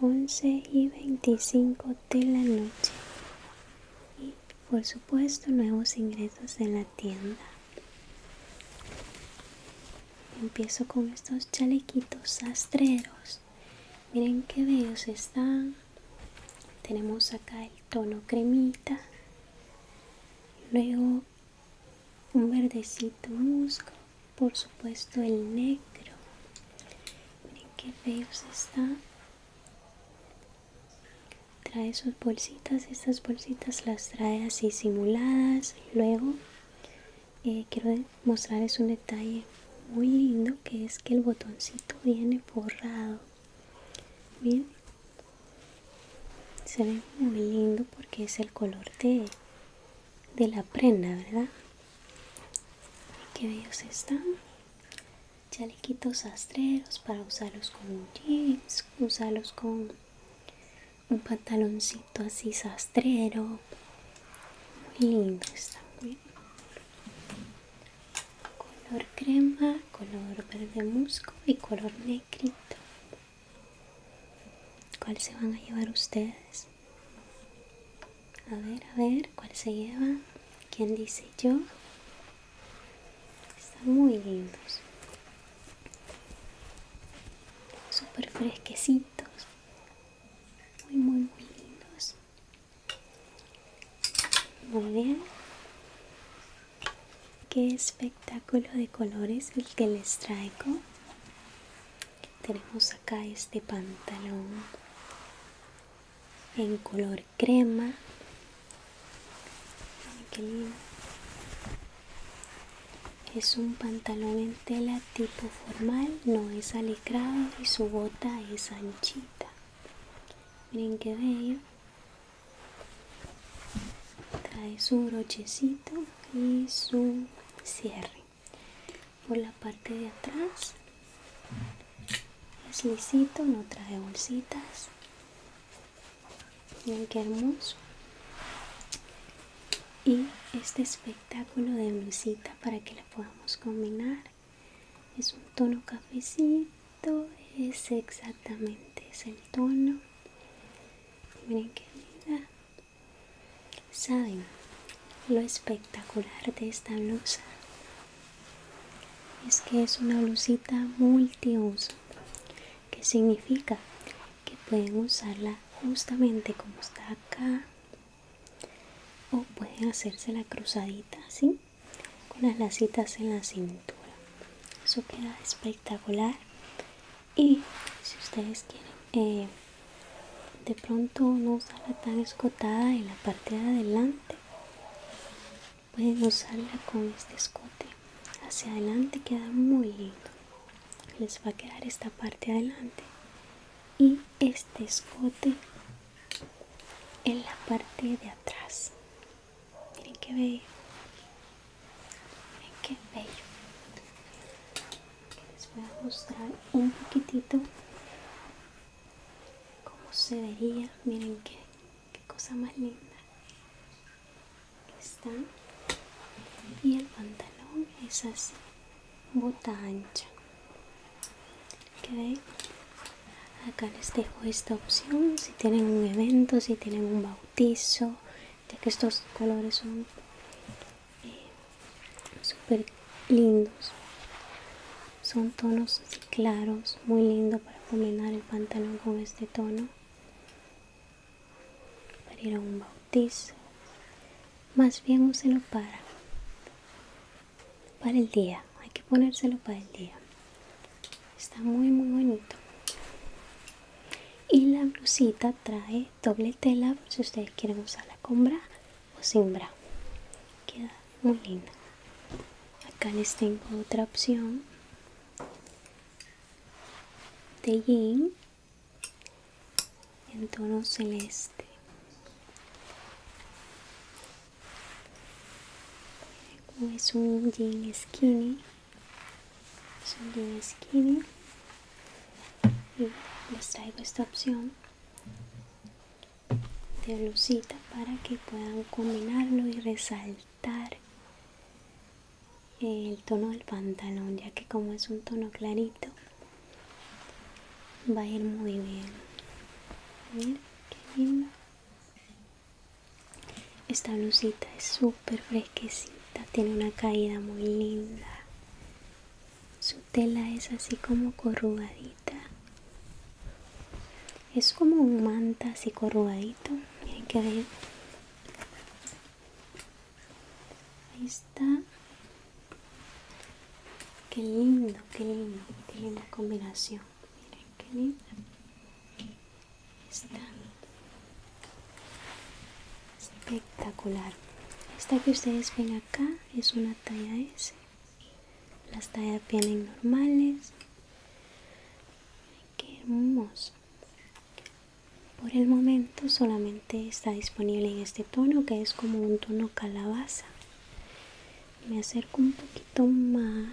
11 y 25 de la noche y por supuesto nuevos ingresos en la tienda empiezo con estos chalequitos sastreros miren qué bellos están tenemos acá el tono cremita luego un verdecito musgo por supuesto el negro miren qué feos está trae sus bolsitas estas bolsitas las trae así simuladas luego eh, quiero mostrarles un detalle muy lindo que es que el botoncito viene forrado bien se ve muy lindo porque es el color de de la prenda, ¿verdad? que bellos están. Chalequitos sastreros para usarlos como jeans, usarlos con un pantaloncito así sastrero. Muy lindo está Bien. Color crema, color verde musgo y color negrito. ¿Cuál se van a llevar ustedes? A ver, a ver, ¿cuál se lleva? ¿Quién dice yo? Están muy lindos. Súper fresquecitos. Muy, muy, muy lindos. Muy bien. Qué espectáculo de colores el que les traigo. Tenemos acá este pantalón en color crema es un pantalón en tela tipo formal no es alicrado y su bota es anchita miren qué bello trae su brochecito y su cierre por la parte de atrás es lisito no trae bolsitas miren que hermoso y este espectáculo de misita para que la podamos combinar es un tono cafecito es exactamente es el tono miren qué linda ¿Saben lo espectacular de esta blusa? Es que es una blusita multiuso, que significa que pueden usarla justamente como está acá o pueden hacerse la cruzadita así con las lacitas en la cintura eso queda espectacular y si ustedes quieren eh, de pronto no usarla tan escotada en la parte de adelante pueden usarla con este escote hacia adelante queda muy lindo les va a quedar esta parte adelante y este escote en la parte de atrás miren qué miren qué bello les voy a mostrar un poquitito cómo se vería miren qué, cosa más linda está y el pantalón es así bota ancha acá les dejo esta opción si tienen un evento si tienen un bautizo ya que estos colores son eh, súper lindos son tonos claros muy lindo para combinar el pantalón con este tono para ir a un bautizo más bien úselo para para el día hay que ponérselo para el día está muy muy bonito y la blusita trae doble tela por si ustedes quieren usarla con bra o sin bra queda muy linda acá les tengo otra opción de jean en tono celeste como es un jean skinny son skinny y les traigo esta opción de blusita para que puedan combinarlo y resaltar el tono del pantalón ya que como es un tono clarito va a ir muy bien miren lindo esta blusita es súper fresquecita esta tiene una caída muy linda. Su tela es así como corrugadita. Es como un manta así corrugadito. Miren que bien. Ahí está. Qué lindo, qué lindo. Tiene linda combinación. Miren qué lindo. Están espectacular. Esta que ustedes ven acá es una talla S. Las tallas vienen normales. Qué hermoso. Por el momento solamente está disponible en este tono que es como un tono calabaza. Me acerco un poquito más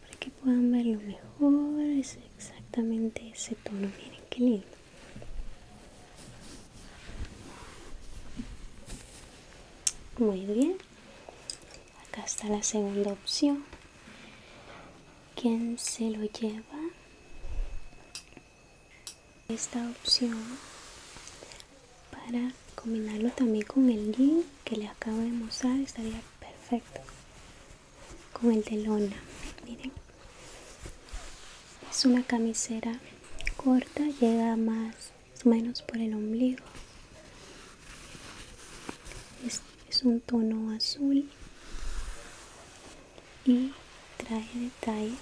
para que puedan verlo mejor es exactamente ese tono miren qué lindo muy bien acá está la segunda opción quién se lo lleva esta opción para combinarlo también con el link que le acabo de mostrar estaría perfecto con el de lona miren es una camisera corta llega más o menos por el ombligo es, un tono azul y trae detalle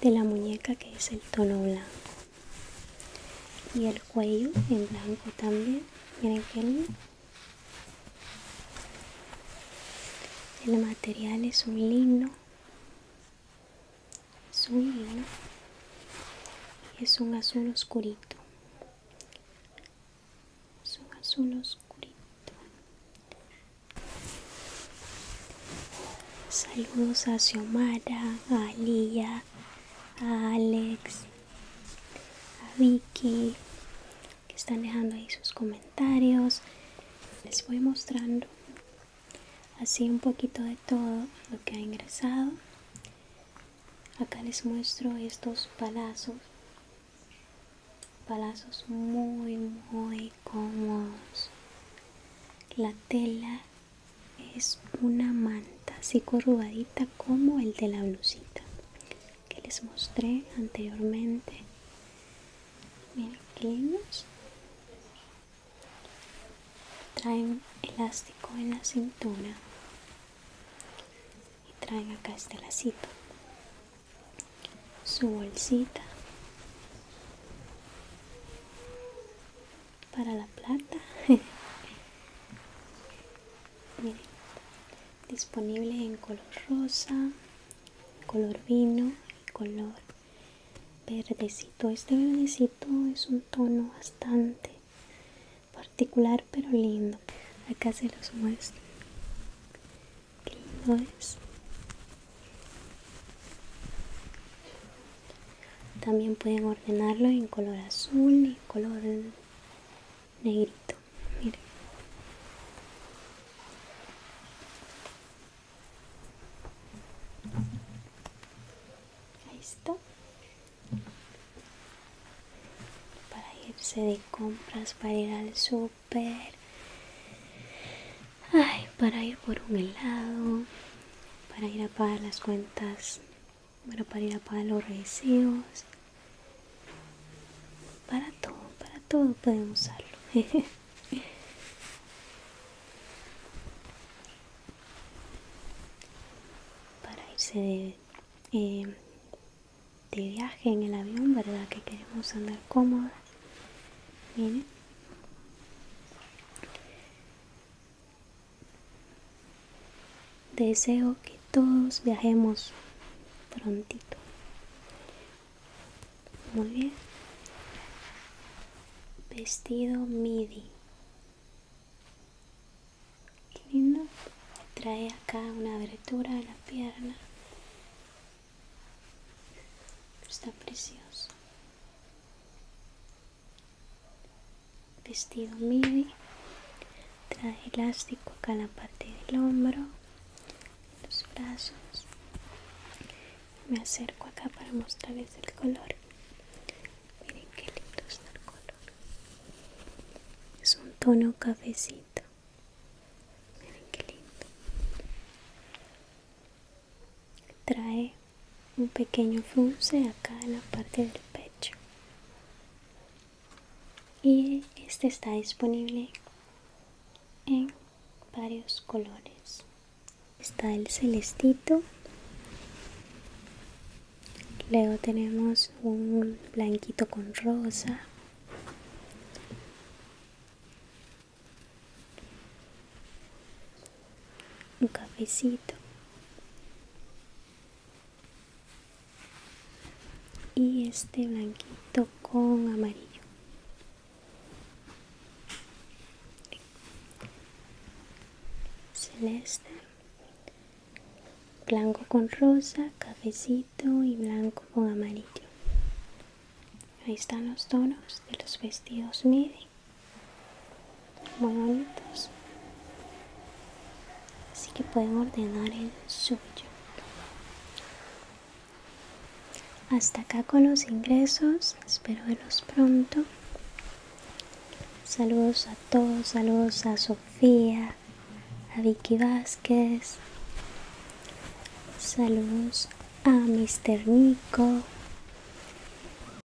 de la muñeca que es el tono blanco y el cuello en blanco también miren qué lindo el material es un lino, es un lino es un azul oscurito, es un azul oscurito. Saludos a Xiomara, a Lía, a Alex a Vicky que están dejando ahí sus comentarios les voy mostrando así un poquito de todo lo que ha ingresado acá les muestro estos palazos palazos muy muy cómodos la tela es una man así corrugadita como el de la blusita que les mostré anteriormente miren traen elástico en la cintura y traen acá este lacito su bolsita para la plata miren disponible en color rosa color vino y color verdecito este verdecito es un tono bastante particular pero lindo acá se los muestro lindo es también pueden ordenarlo en color azul y color negrito mire ahí está para irse de compras para ir al súper ay para ir por un helado para ir a pagar las cuentas bueno, para ir a pagar los residuos, para todo, para todo podemos usarlo. para irse eh, de, viaje en el avión, ¿verdad? Que queremos andar cómodas. Miren. Deseo que todos viajemos prontito. Muy bien. Vestido midi. lindo. Trae acá una abertura en la pierna. Está precioso vestido midi trae elástico acá en la parte del hombro los brazos me acerco acá para mostrarles el color miren qué lindo está el color es un tono cafecito miren qué lindo trae un pequeño frunce acá en la parte del pecho y este está disponible en varios colores está el celestito luego tenemos un blanquito con rosa un cafecito y este blanquito con amarillo celeste blanco con rosa cafecito y blanco con amarillo ahí están los tonos de los vestidos midi momentos así que pueden ordenar el suyo hasta acá con los ingresos espero verlos pronto saludos a todos saludos a Sofía a Vicky Vázquez saludos a Mr. Nico